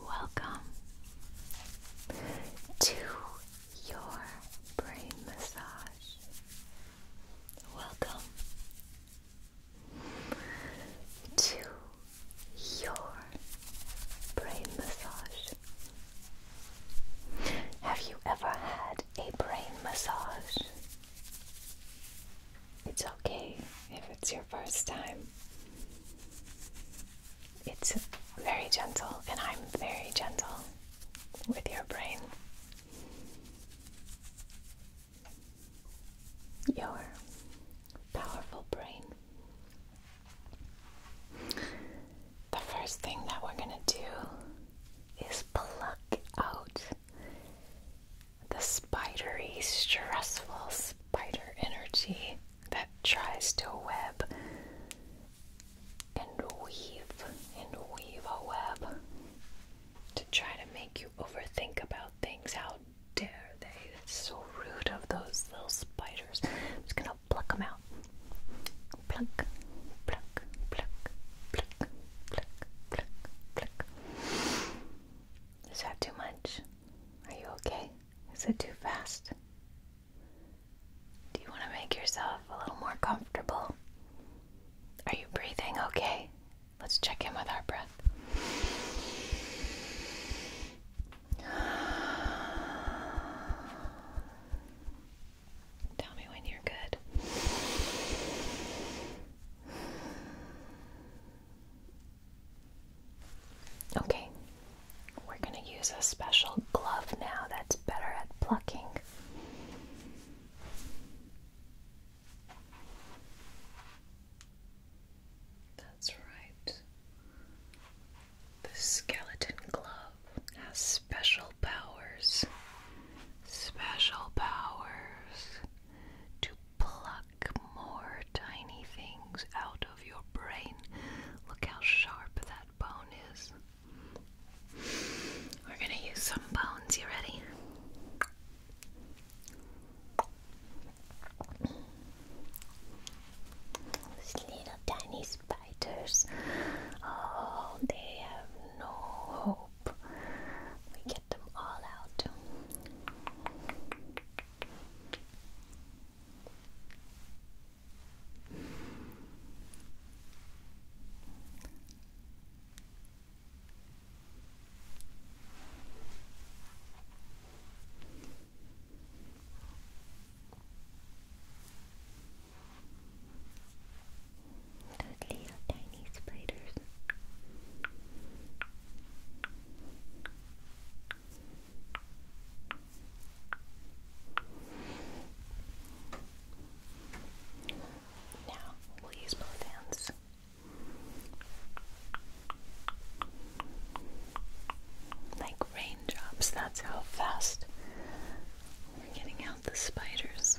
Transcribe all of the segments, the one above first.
Welcome to your brain massage. Welcome to your brain massage. Have you ever had a brain massage? It's okay if it's your first time. It's very gentle, and I'm very gentle with your brain. Your powerful brain. The first thing that we're going to do is pluck out the spidery, stressful spider energy that tries to web and weave and weave a web to try to make you overthink about things. How dare they? It's so rude of those little spiders. I'm just gonna pluck them out. Pluck, pluck, pluck, pluck, pluck, pluck, pluck. Is that too much? Are you okay? Is it too fast? Do you want to make yourself a little more comfortable? Are you breathing okay? Let's check in with our breath. Tell me when you're good. Okay, we're going to use a special glove now that's better at plucking. That's right. The skeleton glove has special powers. Special powers pluck more tiny things out of your brain. Look how sharp that bone is. We're going to use some bones. You ready? These little tiny spiders. Oh, they have no hope. We get them all out. Those little tiny spiders. Now we'll use both hands. Like raindrops, that's how fast we're getting out the spiders.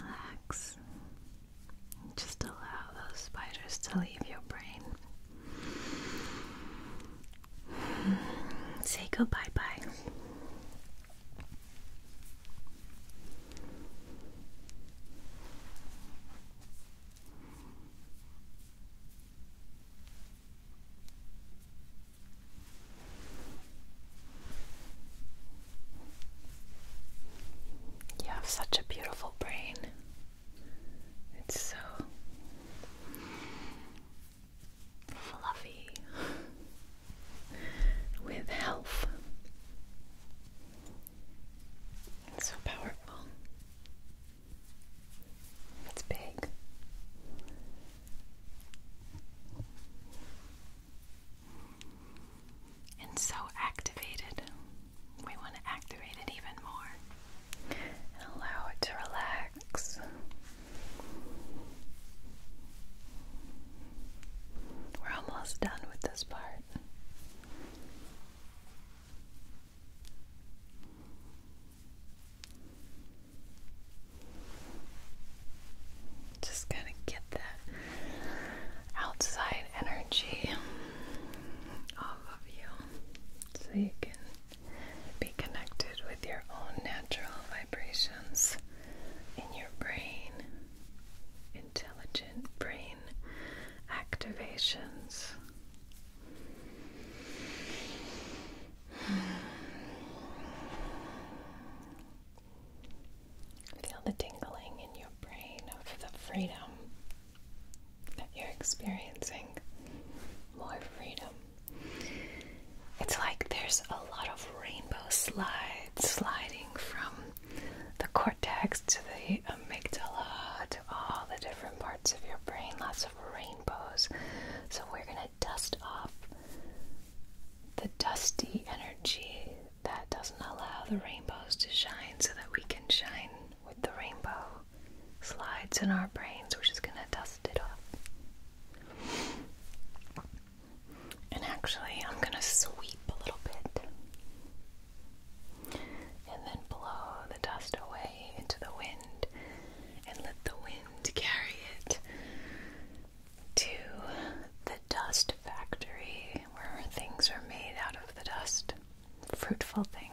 Relax. Just allow those spiders to leave your brain. Say goodbye bye. You have such a beautiful brain. It's so fluffy with health. It's so powerful. It's big. And so activated. We want to activate it even more and allow it to relax. We're almost done with this part. Just gotta get that outside energy off of you so you can be connected with your own natural vibrations in your brain. Intelligent brain activations Feel the tingling in your brain of the freedom that you're experiencing. More freedom. It's like there's a lot of rainbow slides sliding from the cortex to the amygdala to all the different parts of your brain, lots of rainbows. So, we're going to dust off the dusty energy that doesn't allow the rainbows to shine so that we can shine with the rainbow slides in our brains. We're just going to dust it off. And actually, I'm going to sweep a little bit. And then blow the dust away into the wind and let the wind carry it to the dust factory where things are made out of the dust. Fruitful things.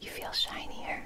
You feel shinier.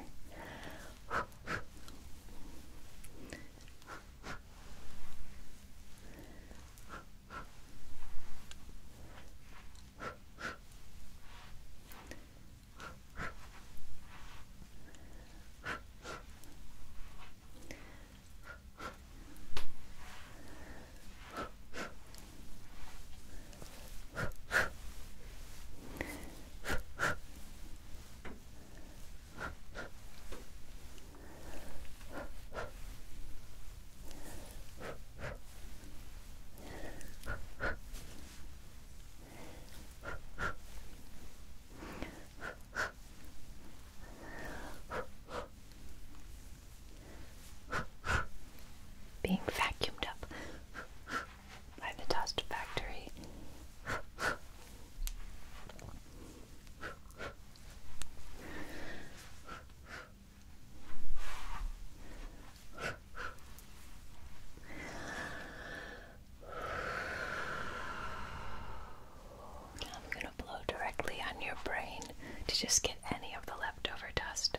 Being vacuumed up by the Dust Factory. I'm going to blow directly on your brain to just get any of the leftover dust.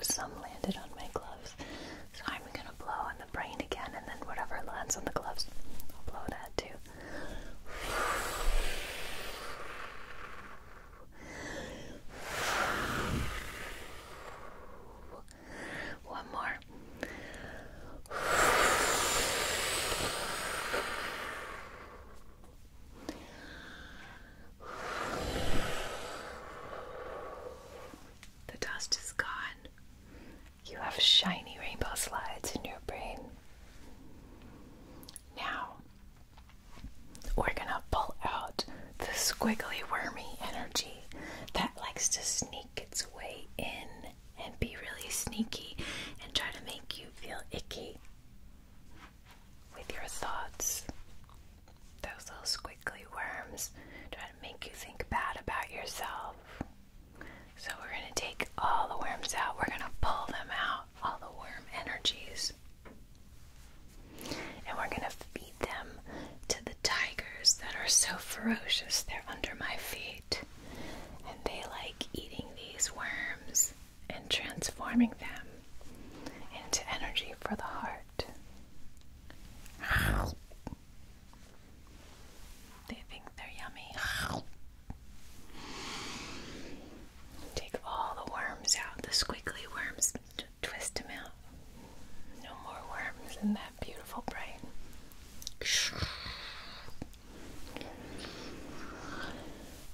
some landed on my gloves. So I'm gonna blow on the brain again, and then whatever lands on the gloves, I'll blow that too. One more. The dust is gone. You have shiny rainbow slides in your brain. Now, we're gonna pull out the squiggly, wormy energy that likes to sneak its way in and be really sneaky and try to make you feel icky with your thoughts. Those little squiggly worms try to make you think bad about yourself. So, we're going to take all the worms out. We're going to pull them out, all the worm energies. And we're going to feed them to the tigers that are so ferocious. They're under my feet. And they like eating these worms and transforming them into energy for the heart heart. They think they're yummy. Take all the worms out, the squiggly worms, twist them out. No more worms in that beautiful brain.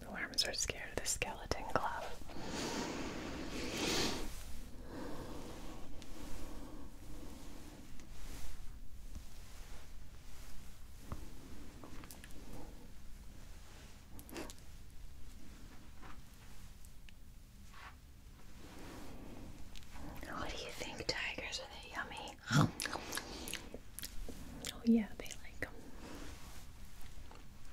The worms are scared of the skeleton glove. What do you think, tigers? Are they yummy? Oh, yeah, they like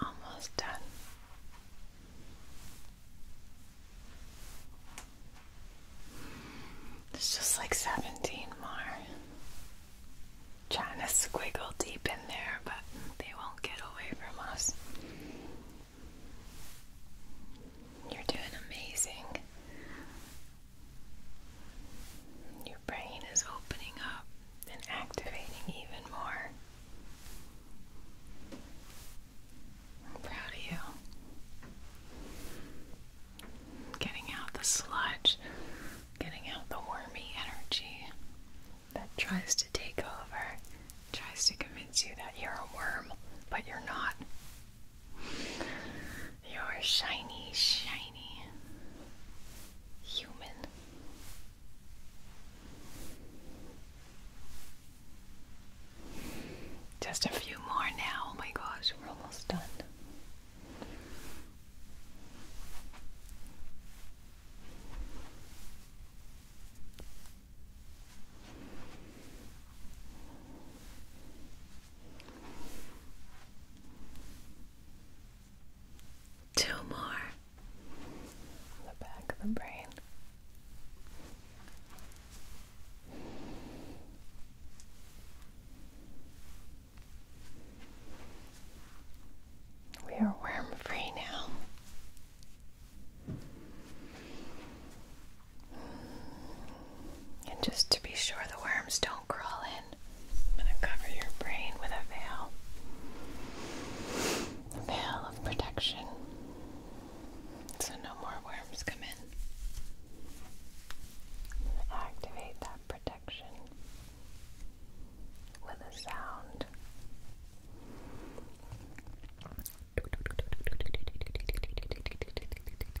Almost done. It's just like 17 more. Trying to squiggle deep in there, but they won't get away from us. You're doing amazing. Your brain is opening up and activating even more. I'm proud of you. Getting out the sludge, getting out the wormy energy that tries to take over, tries to convince you that you're a worm, but you're not. They are shiny, shiny human. Just a few more now. Oh my gosh, we're almost done. Two more the back of the brain. We are worm free now. And just to be sure the worms don't crawl in, I'm going to cover your brain with a veil. A veil of protection. So no more worms come in. Activate that protection with a sound.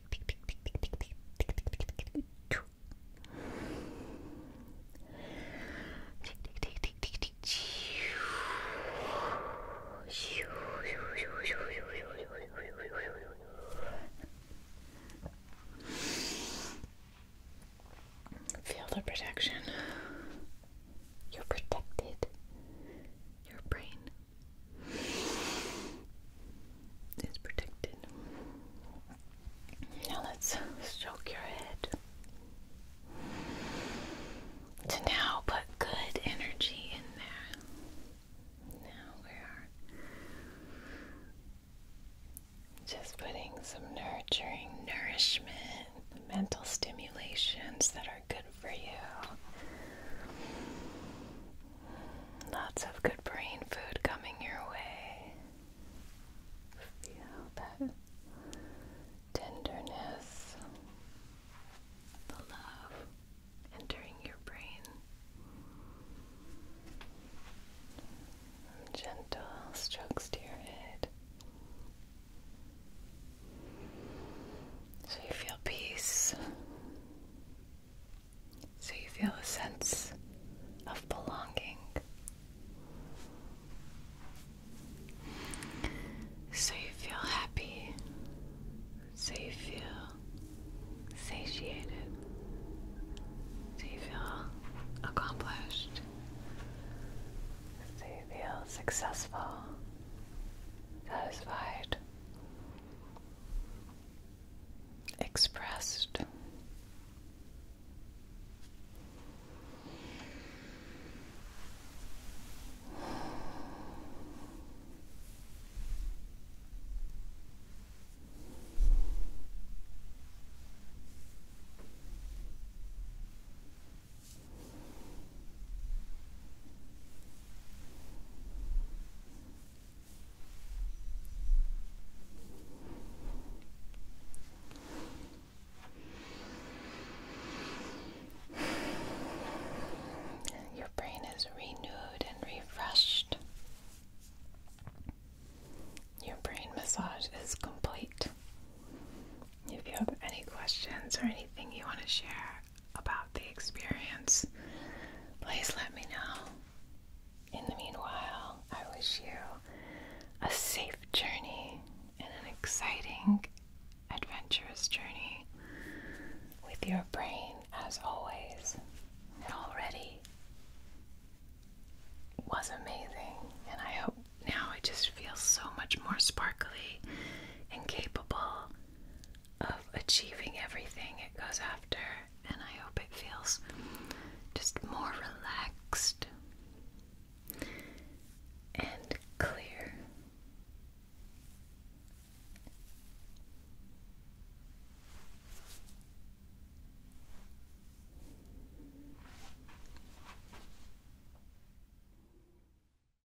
Feel the protection. You're protected. Your brain is protected. Now let's stroke your head. To now put good energy in there. Now we are just putting some nurturing nourishment, mental stimulations that are. Good for you. Lots of good brain food coming your way. Feel that tenderness, the love entering your brain. Gentle strokes to your head. So you feel peace. So you feel a sense of belonging. So you feel happy. So you feel satiated. So you feel accomplished. So you feel successful, satisfied, expressed. Your brain is renewed and refreshed. Your brain massage is complete. If you have any questions or anything you want to share, about the experience, please let me know. In the meanwhile, I wish you a safe journey and an exciting, adventurous journey with your brain, as always. It already was amazing, and I hope now it just feels so much more sparkly and capable of achieving everything it goes after, and I hope it feels just more relaxed and clear.